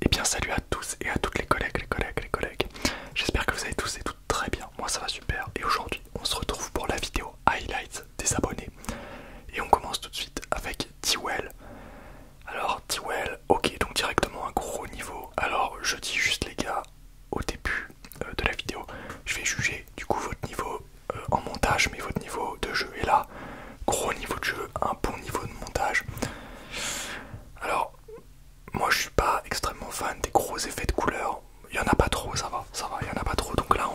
Et eh bien salut à tous et à toutes les collègues, les collègues, les collègues. J'espère que vous allez tous et toutes très bien. Moi ça va super. Et aujourd'hui on se retrouve pour la vidéo highlights des abonnés. Et on commence tout de suite avec Tiwell. Alors Tiwell, ok donc directement un gros niveau. Alors je dis juste les gars au début euh, de la vidéo, je vais juger du coup votre niveau euh, en montage mais votre niveau de jeu. est là gros niveau de jeu, un bon niveau de montage. Alors, moi je suis pas extrêmement fan des gros effets de couleurs. Il y en a pas trop, ça va, ça va, il y en a pas trop. Donc là,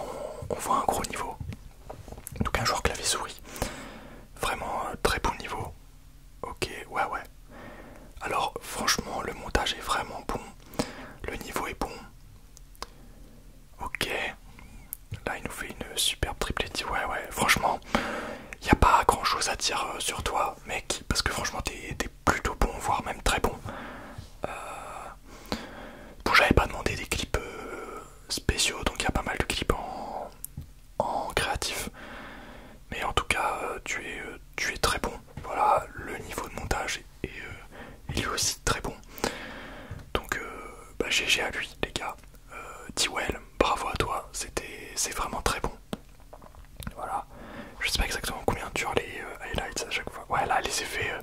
on, voit un gros niveau. Donc un joueur clavier souris, vraiment euh, très bon niveau. Ok, ouais, ouais. Alors franchement, le montage est vraiment bon, le niveau est bon. Ok, Là, il nous fait une superbe triplette. Ouais, ouais, franchement, il n'y a pas grand chose à dire euh, sur toi, mec, parce que franchement, t'es plutôt bon, voire même très bon. Euh, bon, j'avais pas demandé des clips euh, spéciaux, donc il y a pas mal de clips en, créatif. Mais en tout cas, tu es, tu es très bon. Voilà, le niveau de montage est, est, aussi très bon. Donc, bah, GG à lui, les gars. Euh, Dwell, bravo à toi, c'est vraiment très bon. Voilà, je sais pas exactement combien durent les euh, highlights à chaque fois. Ouais, là, les effets, euh,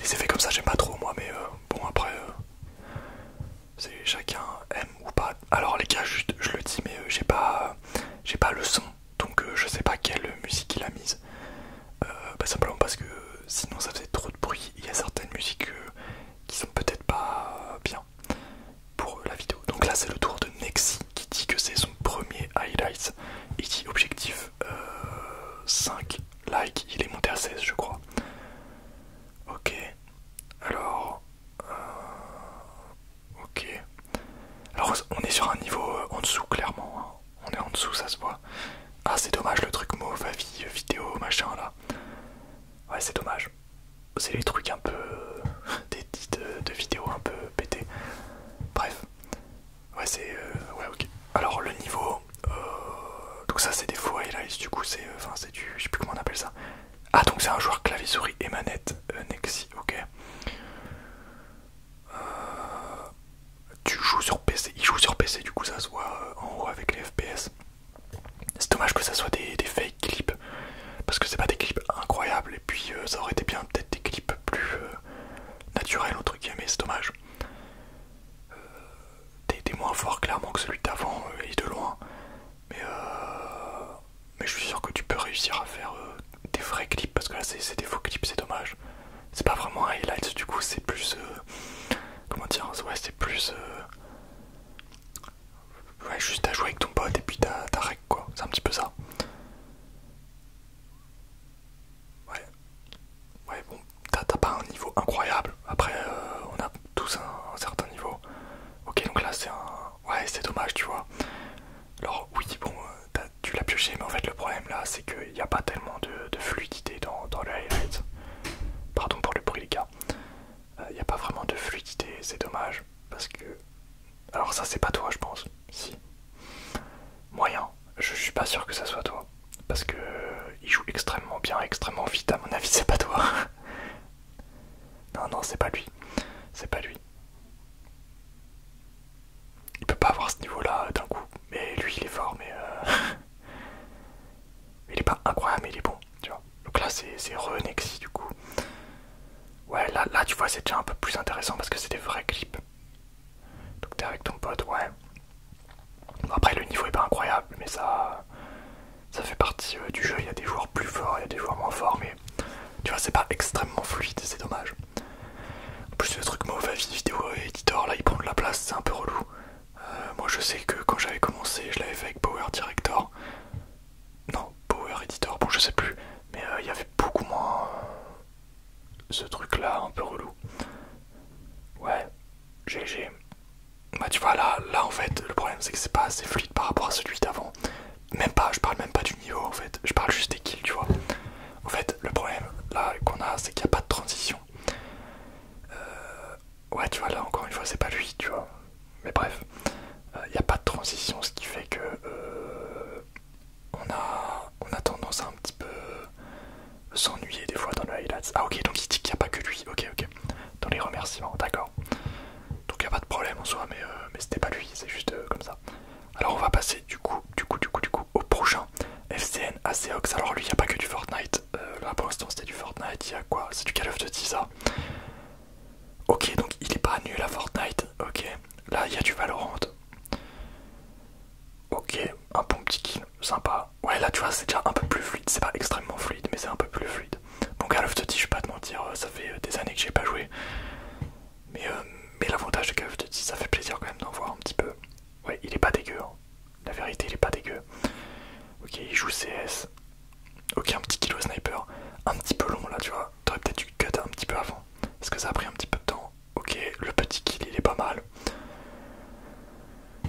les effets comme ça, j'aime pas trop moi, mais bon, après, chacun aime ou pas. Alors, les gars, je le dis, mais j'ai pas, j'ai pas le son, donc je sais pas quelle musique il a mise. Bah, simplement parce que sinon ça faisait trop de bruit. Il y a certaines musiques qui sont peut-être pas euh, bien pour la vidéo. Donc là c'est le tour de Nexi qui dit que c'est son premier highlight et dit objectif 5 euh, likes, il est monté à 16 je crois. Ok, alors... Euh, ok. Alors on est sur un niveau en dessous clairement, hein. on est en dessous ça se voit. Ah c'est dommage le truc mauvais vie, vidéo, machin là. Ouais, c'est dommage. C'est les trucs un peu. Euh, des titres de vidéos un peu pétés. Bref. Ouais, c'est. Euh, ouais, ok. Alors, le niveau. Euh, donc, ça, c'est des faux highlights. Du coup, c'est. Enfin, c'est du. Je sais plus comment on appelle ça. Ah, donc, c'est un joueur clavier-souris et manette. Nexi, ok. tu joues sur PC. Il joue sur PC, du coup, ça se voit en haut avec les FPS. C'est dommage que ça soit des, fake clips parce que c'est pas des clips incroyables et puis euh, ça aurait été bien peut-être des clips plus euh, naturels entre guillemets, c'est dommage. T'es euh, moins fort clairement que celui d'avant il et de loin, mais, mais je suis sûr que tu peux réussir à faire des vrais clips parce que là c'est des faux clips, c'est dommage. C'est pas vraiment un du coup, c'est plus. comment dire Ouais, c'est plus. Ouais, juste à jouer avec ton pote et puis t'as quoi, c'est un petit peu ça. Ouais, ouais, bon, t'as pas un niveau incroyable, après euh, on a tous un, certain niveau. Ok, donc là c'est un. Ouais, c'est dommage, tu vois. Alors, oui, bon, euh, tu l'as pioché, mais en fait, le problème là c'est qu'il n'y a pas tellement de, fluidité dans, dans le highlight. Pardon pour le bruit les gars. Il euh, n'y a pas vraiment de fluidité, c'est dommage. Parce que. Alors, ça, c'est pas toi, je pense. Si. Moyen. Je suis pas sûr que ça soit toi. Parce que. Euh, il joue extrêmement bien, extrêmement vite. À mon avis, c'est pas toi. non, non, c'est pas lui. C'est pas lui. Il peut pas avoir ce niveau-là euh, d'un coup. Mais lui, il est fort, mais. Il est pas incroyable, mais il est bon, tu vois. Donc là, c'est Renexi du coup. Ouais, là, là, tu vois, c'est déjà un peu plus intéressant parce que c'est des vrais clips. Donc t'es avec ton pote, ouais. après, le niveau est pas incroyable, mais ça, ça fait partie euh, du jeu. Il y a des joueurs plus forts, il y a des joueurs moins forts, mais tu vois, c'est pas extrêmement fluide, c'est dommage. En plus, le truc mauvais vidéo éditeur, là, il prend de la place, c'est un peu relou. Euh, moi je sais que quand j'avais commencé, je l'avais fait avec Power Director. Non, Power Editor, bon je sais plus. Mais euh, il y avait beaucoup moins euh, ce truc là, un peu relou. Ouais, GG. Bah tu vois là, là en fait, le problème c'est que c'est pas assez fluide par rapport à celui d'avant. Même pas, je parle même pas du niveau en fait, je parle juste des kills, tu vois. En fait, le problème là qu'on a, c'est qu'il n'y a pas de transition. Euh, ouais, tu vois, là encore une fois, c'est pas lui, tu vois. Mais bref, il euh, n'y a pas de transition, ce qui fait que euh, on, a, on a tendance à un petit peu s'ennuyer des fois dans le highlights. Ah, ok, donc il dit qu'il n'y a pas que lui, ok, ok. Dans les remerciements, d'accord. Donc il n'y a pas de problème en soi, mais, mais c'était pas lui, c'est juste comme ça. Alors on va passer du coup, du coup, du coup, du coup, au prochain. FCN, ACOX alors lui il n'y a pas que du Fortnite, euh, là pour l'instant c'était du Fortnite, il y a quoi C'est du Call of Duty ça Ok donc il est pas nul à Fortnite, ok, là il y a du Valorant. Ok, un bon petit kill, sympa. Ouais là tu vois c'est déjà un peu plus fluide, c'est pas extrêmement fluide mais c'est un peu plus fluide. Bon Call of Duty je vais pas te mentir, euh, ça fait euh, des années que j'ai pas joué. Mais, mais l'avantage de Call of Duty ça fait plaisir quand même d'en voir un petit peu. Ouais, il est pas dégueu. Hein. La vérité, il est pas dégueu. Ok, il joue CS. Ok, un petit kilo sniper. Un petit peu long là, tu vois. T'aurais peut-être dû cut un petit peu avant. est-ce que ça a pris un petit peu de temps. Ok, le petit kill, il est pas mal.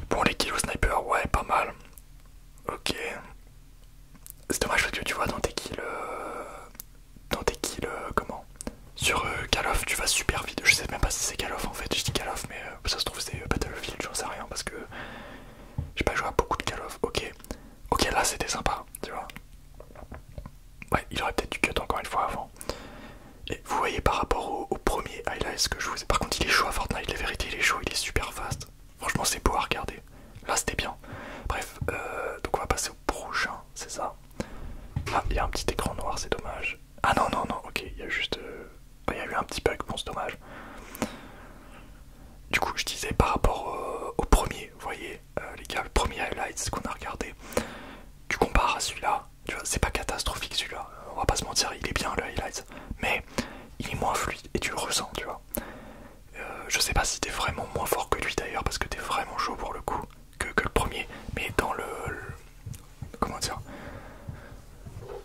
Bon, les kills sniper, ouais, pas mal. Ok. C'est dommage parce que tu vois dans tes kills. Euh, dans tes kills, euh, comment sur euh, Call of, tu vas super vite. Je sais même pas si c'est Call of en fait. Je dis Call of, mais euh, ça se trouve c'est euh, Battlefield, j'en sais rien parce que j'ai pas joué à beaucoup de Call of. Ok, ok, là c'était sympa, tu vois. Ouais, il aurait peut-être du cut encore une fois avant. Et vous voyez par rapport au, premier highlights que je vous ai. Par contre, il est chaud à Fortnite, la vérité, il est chaud, il est super fast. Franchement, c'est beau à regarder. Là, c'était bien. Bref, donc on va passer au prochain, c'est ça. Ah, il y a un petit écran noir, c'est dommage. Ah non, non, non, ok, il y a juste. Euh, bah, il y a eu un petit bug, bon, c'est dommage. Du coup, je disais par rapport euh, au premier, vous voyez, euh, les gars, le premier highlights qu'on a regardé, tu compares à celui-là, tu vois, c'est pas catastrophique celui-là, on va pas se mentir, il est bien le highlight, mais il est moins fluide et tu le ressens, tu vois. je sais pas si t'es vraiment moins fort que lui d'ailleurs, parce que t'es vraiment chaud pour le coup que, le premier, mais dans le, comment dire,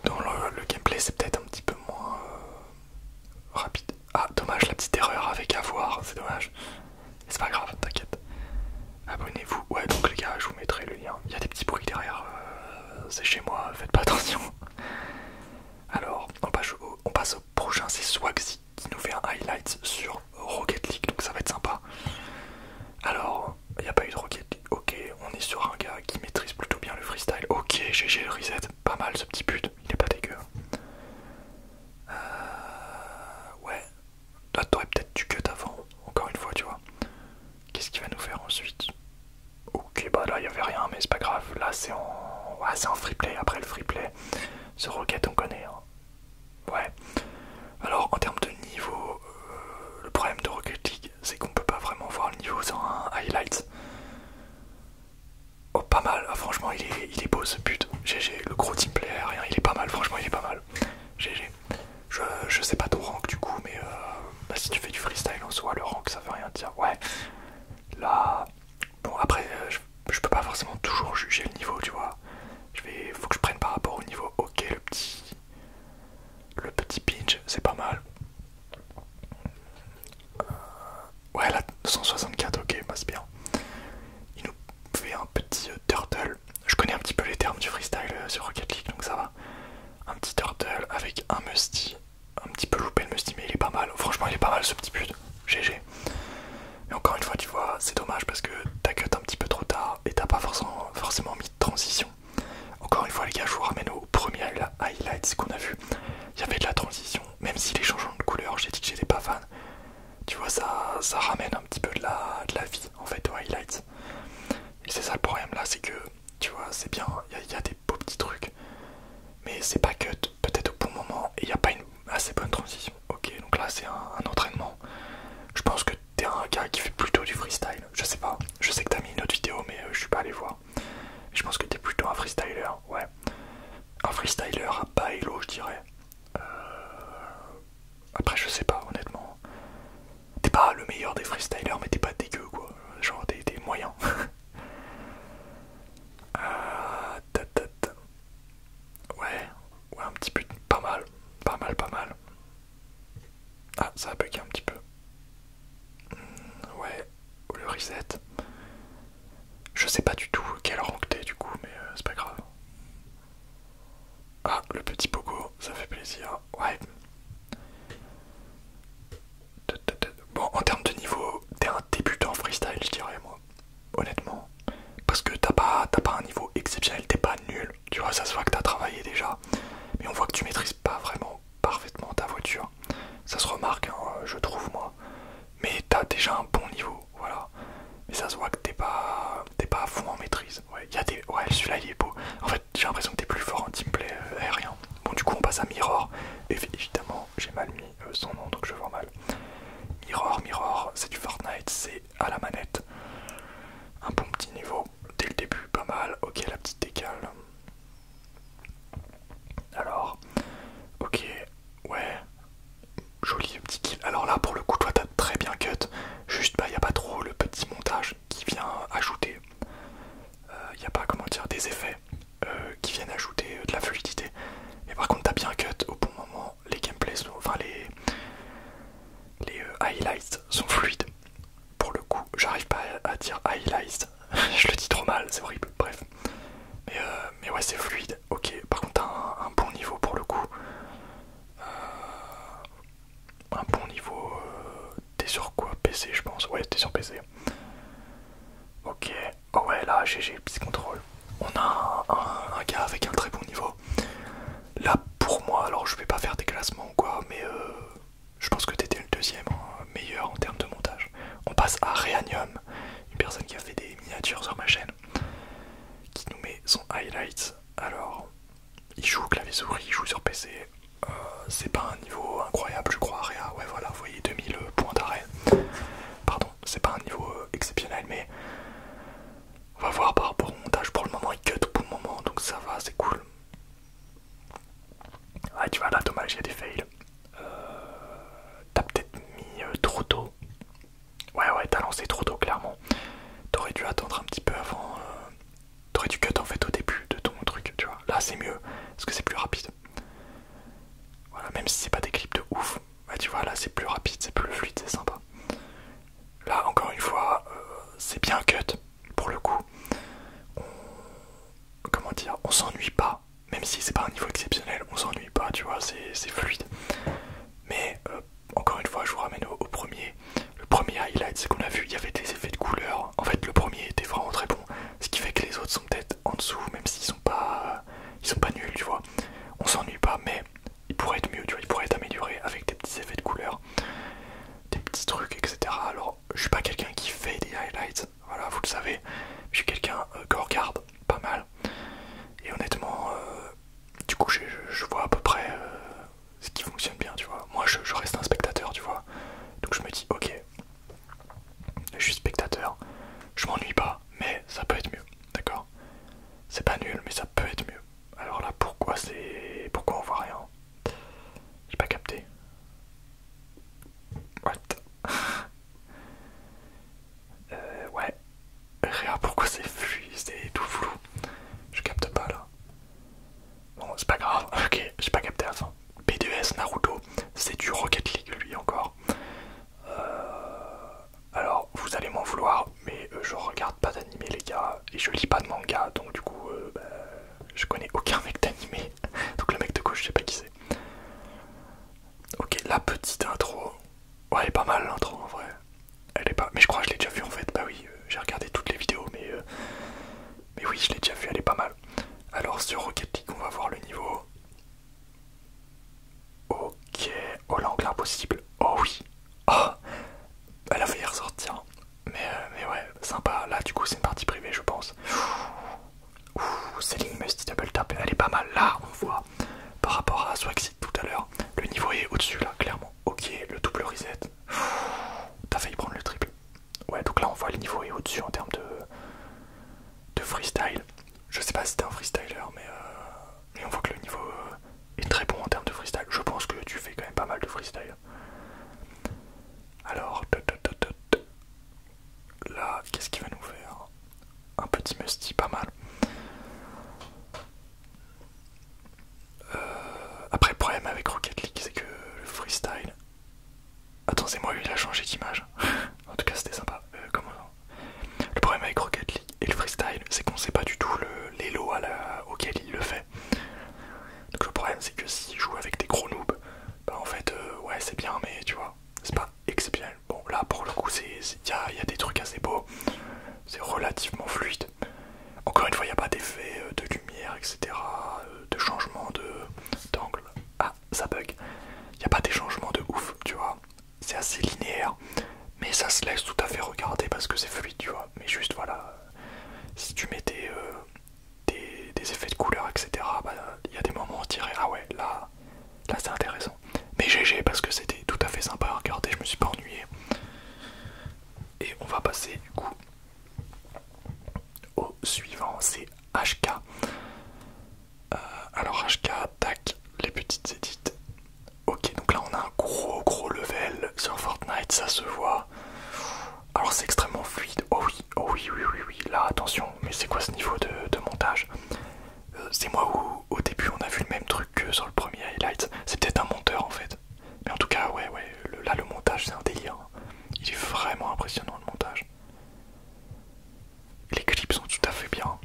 dans le, gameplay c'est peut-être un petit peu moins euh, rapide. Ah dommage la petite erreur avec avoir, c'est dommage. C'est pas grave, t'inquiète. Abonnez-vous. Ouais donc les gars, je vous mettrai le lien. Il y a des petits bruits derrière. Euh, c'est chez moi, faites pas attention. Alors on passe au, on passe au prochain, c'est Swagsy qui nous fait un highlight sur Rocket League, donc ça va être sympa. Alors, il n'y a pas eu de Rocket League. Ok, on est sur un gars qui maîtrise plutôt bien le freestyle. Ok, GG le reset, pas mal ce petit pute, il est pas dégueu. Euh, ouais, tu t'aurais peut-être du que avant, encore une fois, tu vois. Qu'est-ce qu'il va nous faire ensuite Ok, bah là il n'y avait rien, mais c'est pas grave. Là c'est en... Ouais, en free play, après le free play. Ce Rocket on connaît. Hein. Ouais. Alors en termes de niveau, euh, le problème de Rocket League, c'est qu'on peut pas vraiment voir le niveau sans un highlight. Oh pas mal, ah, franchement il est, il est beau ce but. GG, le gros teamplay, rien, il est pas mal, franchement il est pas mal. GG. Je, sais pas ton rank du coup, mais euh, bah, si tu fais du freestyle en soi, le rank ça veut rien dire. Ouais. Là, bon après, euh, je, je peux pas forcément toujours juger le niveau, tu vois. Je vais, faut que je prenne par rapport au niveau. Ok, le petit, le petit pinch, c'est pas mal. Euh, ouais, la 264 ok, bah, c'est bien. Il nous fait un petit euh, turtle. Je connais un petit peu les termes du freestyle euh, sur Rocket League, donc ça va. Un petit turtle avec un musty. Un petit peu loupé le musty, mais il est pas mal. Franchement, il est pas mal ce petit pute. GG. Mais encore une fois, tu vois, c'est dommage parce que t'as cut un petit peu trop tard et t'as pas forcément, mis de transition. Encore une fois, les gars, je vous ramène au premier highlights qu'on a vu. Il y avait de la transition, même si les changements de couleur, j'ai dit que j'étais pas fan. Tu vois, ça, ça ramène un petit peu de la, vie en fait aux highlights. Et c'est ça le problème là, c'est que tu vois, c'est bien, il y, a des beaux petits trucs, mais c'est pas cut peut-être au bon moment il n'y a pas une ah, assez bonne transition. Ok, donc là c'est un, entraînement. Je pense que t'es un gars qui fait plutôt du freestyle. Je sais pas. Je sais que t'as mis une autre vidéo, mais euh, je suis pas allé voir. Je pense que t'es plutôt un freestyler, ouais. Un freestyler à bas je dirais. Euh, après, je sais pas, honnêtement. T'es pas le meilleur des freestylers, mais t'es pas dégueu, quoi. Genre, t'es moyen. Euh, ouais, Ouais, un petit peu, pas mal, pas mal, pas mal. Ah, ça a bugué un petit peu. Hmm, ouais, ou le reset. Je sais pas du tout quel rank t'es du coup, mais euh, c'est pas grave. Ah, le petit pogo, ça fait plaisir. Ouais. Bon, en termes de niveau, t'es un débutant freestyle, je dirais, moi honnêtement. Parce que t'as pas, un niveau exceptionnel, t'es pas nul. Tu vois, ça se voit que t'as travaillé déjà. Mais on voit que tu maîtrises pas vraiment parfaitement ta voiture. Ça se remarque, hein, je trouve, moi. Mais t'as déjà un bon niveau, voilà. Mais ça se voit que t'es pas, pas à fond en maîtrise. Ouais, y a des, ouais celui-là il est beau. En fait, j'ai l'impression que t'es plus fort en teamplay euh, aérien. Bon, du coup, on passe à Mirror. évidemment, j'ai mal mis euh, son nom, donc je vois mal. Mirror, Mirror, c'est du Fortnite, c'est à la manette. Un bon petit niveau, dès le début, pas mal. Ok, la petite décale. Alors, ok, ouais, joli petit kill. Alors là, pour le coup, toi, t'as très bien cut. Juste, bah, y a pas trop le petit montage qui vient ajouter. Il euh, a pas, comment dire, des effets euh, qui viennent ajouter de la fluidité. Mais par contre, t'as bien cut au bon moment, les gameplays sont, les, les euh, highlights sont fluides. Pour le coup, j'arrive pas à dire highlights, je le dis trop mal, c'est horrible, bref. Mais, euh, mais ouais, c'est fluide, ok. Par contre, un, bon niveau pour le coup. Euh, un bon niveau. T'es sur quoi PC, je pense Ouais, t'es sur PC. Ok, oh ouais là GG Psy contrôle On a un, gars avec un très bon niveau. Là pour moi, alors je vais pas faire des classements ou quoi, mais euh, je pense que t'étais le deuxième hein, meilleur en termes de montage. On passe à Reanium, une personne qui a fait des miniatures sur ma chaîne, qui nous met son highlight. Alors, il joue clavier souris, il joue sur PC. Euh, c'est pas un niveau incroyable, je crois. Réa, ouais, voilà, vous voyez 2000 euh, points d'arrêt. Pardon, c'est pas un niveau euh, exceptionnel, mais on va voir par rapport au montage. Pour le moment, il cut pour le moment, donc ça va, c'est cool. Ouais, ah, tu vois, là, dommage, il y a des fails. Euh, t'as peut-être mis euh, trop tôt. Ouais, ouais, t'as lancé trop tôt, clairement. T'aurais dû attendre un petit peu avant. T'aurais dû cut en fait au début de ton truc, tu vois. Là, c'est mieux, parce que c'est plus rapide. Voilà, même si c'est pas des clips de ouf, bah, tu vois, là c'est plus rapide, c'est plus fluide, c'est sympa. Là, encore une fois, euh, c'est bien cut pour le coup. Comment dire On s'ennuie pas, même si c'est pas un niveau exceptionnel, on s'ennuie pas, tu vois, c'est fluide. Mais euh, encore une fois, je vous ramène au, premier. Le premier highlight, c'est qu'on a vu, il y avait des effets de couleur. En fait, le premier était vraiment très bon, ce qui fait que les autres sont peut-être en dessous, même s'ils sont pas, ils sont pas nuls, tu vois. On s'ennuie pas, mais ils pourraient être mieux, tu vois. Ils pourraient être améliorés avec des petits effets de couleur, des petits trucs, etc. Alors, je suis pas quelqu'un qui fait des highlights, voilà, vous le savez. Je suis quelqu'un euh, qui regarde pas mal. Et honnêtement, euh, du coup, je, vois à peu près euh, ce qui fonctionne bien, tu vois. Moi, je reste un spectateur, tu vois. Donc je me dis, ok, je suis spectateur, je m'ennuie pas, mais ça peut être mieux, d'accord C'est pas nul, mais ça peut être mieux. Alors là, pourquoi c'est. Pourquoi on voit rien J'ai pas capté. What euh, Ouais. Rien. pourquoi c'est C'est tout flou. Je capte pas là. Bon, c'est pas grave, ok, j'ai pas capté à la B2S Naruto, c'est du Rocket League lui encore. Euh, alors, vous allez m'en vouloir, mais euh, je regarde pas d'animé, les gars, et je lis pas de manga, donc du coup, euh, bah, je connais aucun mec d'animé. donc, le mec de gauche, je sais pas qui c'est. Ok, la petite intro. Ouais, elle est pas mal l'intro en vrai. Elle est pas. Mais je crois que je l'ai déjà vue en fait. Bah oui, j'ai regardé toutes les vidéos, mais. Mais oui, je l'ai déjà vue, elle est pas mal. Alors, sur Rocket League, on va voir le niveau. Ok, oh l'angle impossible, oh oui, oh, elle a failli ressortir, hein. mais, euh, mais ouais, sympa, là du coup c'est une partie privée je pense. Ouh, Céline Musty Double Tap, elle est pas mal, là on voit, par rapport à Swagsit tout à l'heure, le niveau est au-dessus là, clairement. Ok, le double reset, t'as failli prendre le triple. Ouais, donc là on voit le niveau est au-dessus en termes de de freestyle. Je sais pas si t'es un freestyler, mais, euh, mais on voit que le niveau euh, est très bon en termes de freestyle. Je pense que tu fais quand même pas mal de freestyle. Alors, là, qu'est-ce qu'il va nous faire Un petit musty, pas mal. Euh, après, le problème avec Rocket League, c'est que le freestyle Attends, c'est moi, il a changé d'image. en tout cas, c'était sympa. Euh, comment Le problème avec Rocket League et le freestyle, c'est qu'on sait pas du tout l'élo lots auquel il le fait. Donc le problème, c'est que s'il joue avec des gros noobs, bah en fait, euh, ouais, c'est bien, mais tu vois, c'est pas exceptionnel. Bon, là, pour le coup, il y a, des trucs assez beaux. C'est relativement fluide. Encore une fois, il n'y a pas d'effet euh, de lumière, etc., de changement d'angle ça, bug. Il n'y a pas des changements de ouf, tu vois. C'est assez linéaire, mais ça se laisse tout à fait regarder parce que c'est fluide, tu vois. Mais juste voilà, si tu mettais euh, des, effets de couleur, etc., bah, il y a des moments où on dirait ah ouais, là, là c'est intéressant. Mais GG parce que c'était tout à fait sympa à regarder, je me suis pas ennuyé. Et on va passer du coup au suivant, c'est HK. Euh, alors HK, tac, les petites édites. Ok, donc là on a un gros gros level sur Fortnite, ça se voit. Alors c'est extrêmement fluide. Oh oui, oh oui, oui, oui, oui. Là attention, mais c'est quoi ce niveau de, montage euh, C'est moi où au début on a vu le même truc que sur le premier highlight. C'est peut-être un monteur en fait. Mais en tout cas, ouais, ouais, là le montage c'est un délire. Il est vraiment impressionnant le montage. Les clips sont tout à fait bien.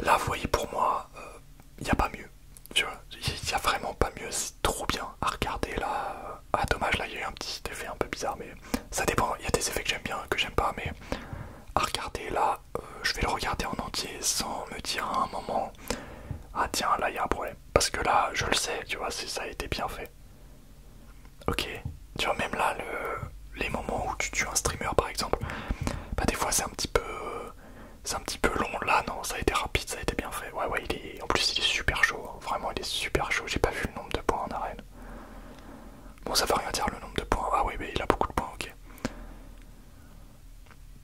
Là, vous voyez, pour moi, il euh, n'y a pas mieux. Tu vois, il a vraiment pas mieux. C'est trop bien à regarder là. Ah, dommage, là, il y a eu un petit effet un peu bizarre, mais ça dépend. Il y a des effets que j'aime bien, que j'aime pas, mais à regarder là, euh, je vais le regarder en entier sans me dire à un moment, ah tiens, là, il y a un problème. Parce que là, je le sais, tu vois, ça a été bien fait. Ok, tu vois, même là, le, les moments où tu tues un streamer par exemple, bah des fois c'est un petit peu c'est un petit peu long. Là, non, ça a été rapide, ça a été bien fait. Ouais, ouais, il est, en plus, il est super chaud, hein. vraiment, il est super chaud. J'ai pas vu le nombre de points en arène. Bon, ça veut rien dire le nombre de points. Ah, oui, mais il a beaucoup de points, ok.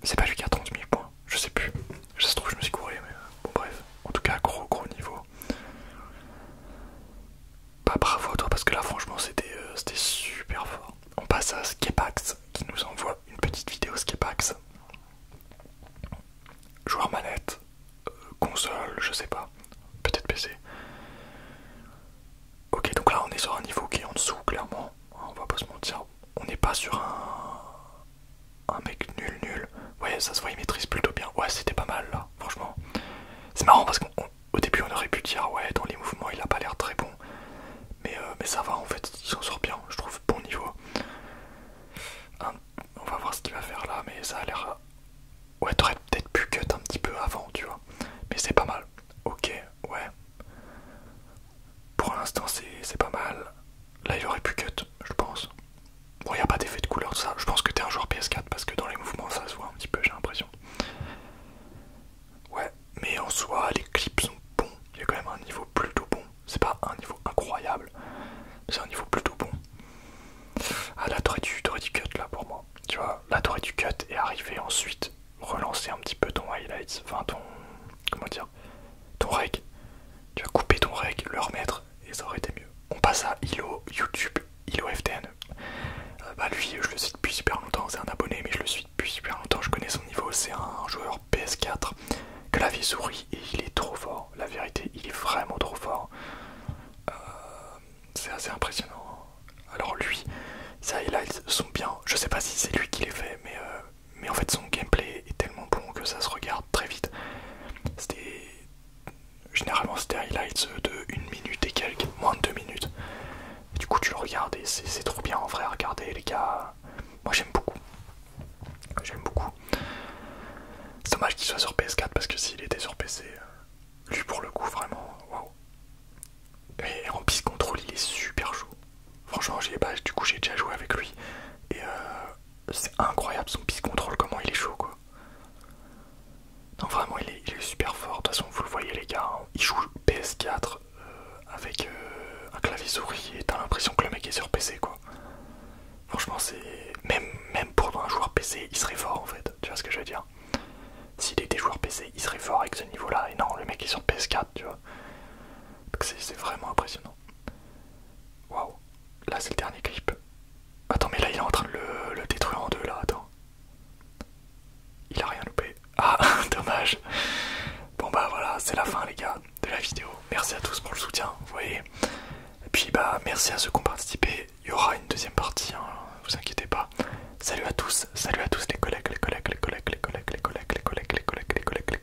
C'est pas lui qui a 30 000 points, je sais plus. Je se trouve, je me suis couru, mais euh, bon, bref. En tout cas, gros, gros niveau. Pas bah, bravo à toi parce que là franchement c'était euh, super fort. On passe à Skipax qui nous envoie une petite vidéo Skepax. Joueur manette, euh, console, je sais pas, peut-être PC. Ok donc là on est sur un niveau qui est en dessous clairement, on va pas se mentir. On n'est pas sur un, un mec nul nul. Ouais ça se voit il maîtrise plutôt bien. Ouais c'était pas mal là, franchement. C'est marrant parce qu'au début on aurait pu dire ouais dans les mouvements il a pas l'air très bon. Mais, euh, mais ça va en fait, il s'en sort bien, je trouve bon niveau. on va voir ce qu'il va faire là, mais ça a l'air... Euh, ouais t'aurais peut-être pu cut un petit peu avant, tu vois. Mais c'est pas mal. Ok, ouais. Pour l'instant c'est pas mal. Là, il aurait pu cut, je pense. Bon, il n'y a pas d'effet de couleur, ça. Je pense que t'es un joueur PS4 parce que dans les mouvements, ça se voit un petit peu, j'ai l'impression. Ouais, mais en soi, les clips sont bons. Il y a quand même un niveau plutôt bon. C'est pas un niveau incroyable, c'est un niveau plutôt bon. Ah, la tour du cut, là, pour moi. Tu vois, la t'aurais du cut et arriver ensuite, relancer un petit peu ton highlights, enfin ton. Comment dire ton reg. Tu as coupé ton reg, le remettre et ça aurait été mieux. On passe à Ilo YouTube, Ilo FTN. Euh, bah lui, je le suis depuis super longtemps, c'est un abonné, mais je le suis depuis super longtemps, je connais son niveau, c'est un joueur PS4, que la vie sourit et il est trop fort, la vérité, il est vraiment trop fort. Euh, c'est assez impressionnant. Hein. Alors lui, ça highlights sont bien, je sais pas si c'est lui qui les fait, mais euh, mais en fait son gameplay est tellement bon que ça se regarde très vite. C'était généralement c'était highlights de 1 minute et quelques, moins de deux minutes. du coup tu le regardes et c'est trop bien en vrai à regarder les gars. Moi j'aime beaucoup. J'aime beaucoup. C'est dommage qu'il soit sur PS4 parce que s'il était sur PC, lui pour le coup vraiment, waouh. Et en piste contrôle il est super chaud. Franchement j'ai du coup j'ai déjà joué avec lui. Et euh, c'est incroyable son piste contrôle, comment il est chaud quoi. Non, vraiment, il est, super fort. De toute façon, vous le voyez, les gars, hein. il joue PS4 euh, avec euh, un clavier souris et t'as l'impression que le mec est sur PC quoi. Franchement, c'est. Même, même pour un joueur PC, il serait fort en fait, tu vois ce que je veux dire. S'il était joueur PC, il serait fort avec ce niveau là, et non, le mec est sur PS4, tu vois. Donc c'est vraiment impressionnant. Wow, Là, c'est le dernier clip. Attends, mais là, il est en train de le, détruire en deux, là. Attends. Il a rien loupé. Ah, dommage. Bon, bah voilà, c'est la fin, les gars, de la vidéo. Merci à tous pour le soutien, vous voyez. Et puis, bah, merci à ceux qui ont participé. Il y aura une deuxième partie, hein. vous inquiétez pas. Salut à tous, salut à tous les collègues, les collègues, les collègues, les collègues, les collègues, les collègues, les collègues, les collègues. Les collègues.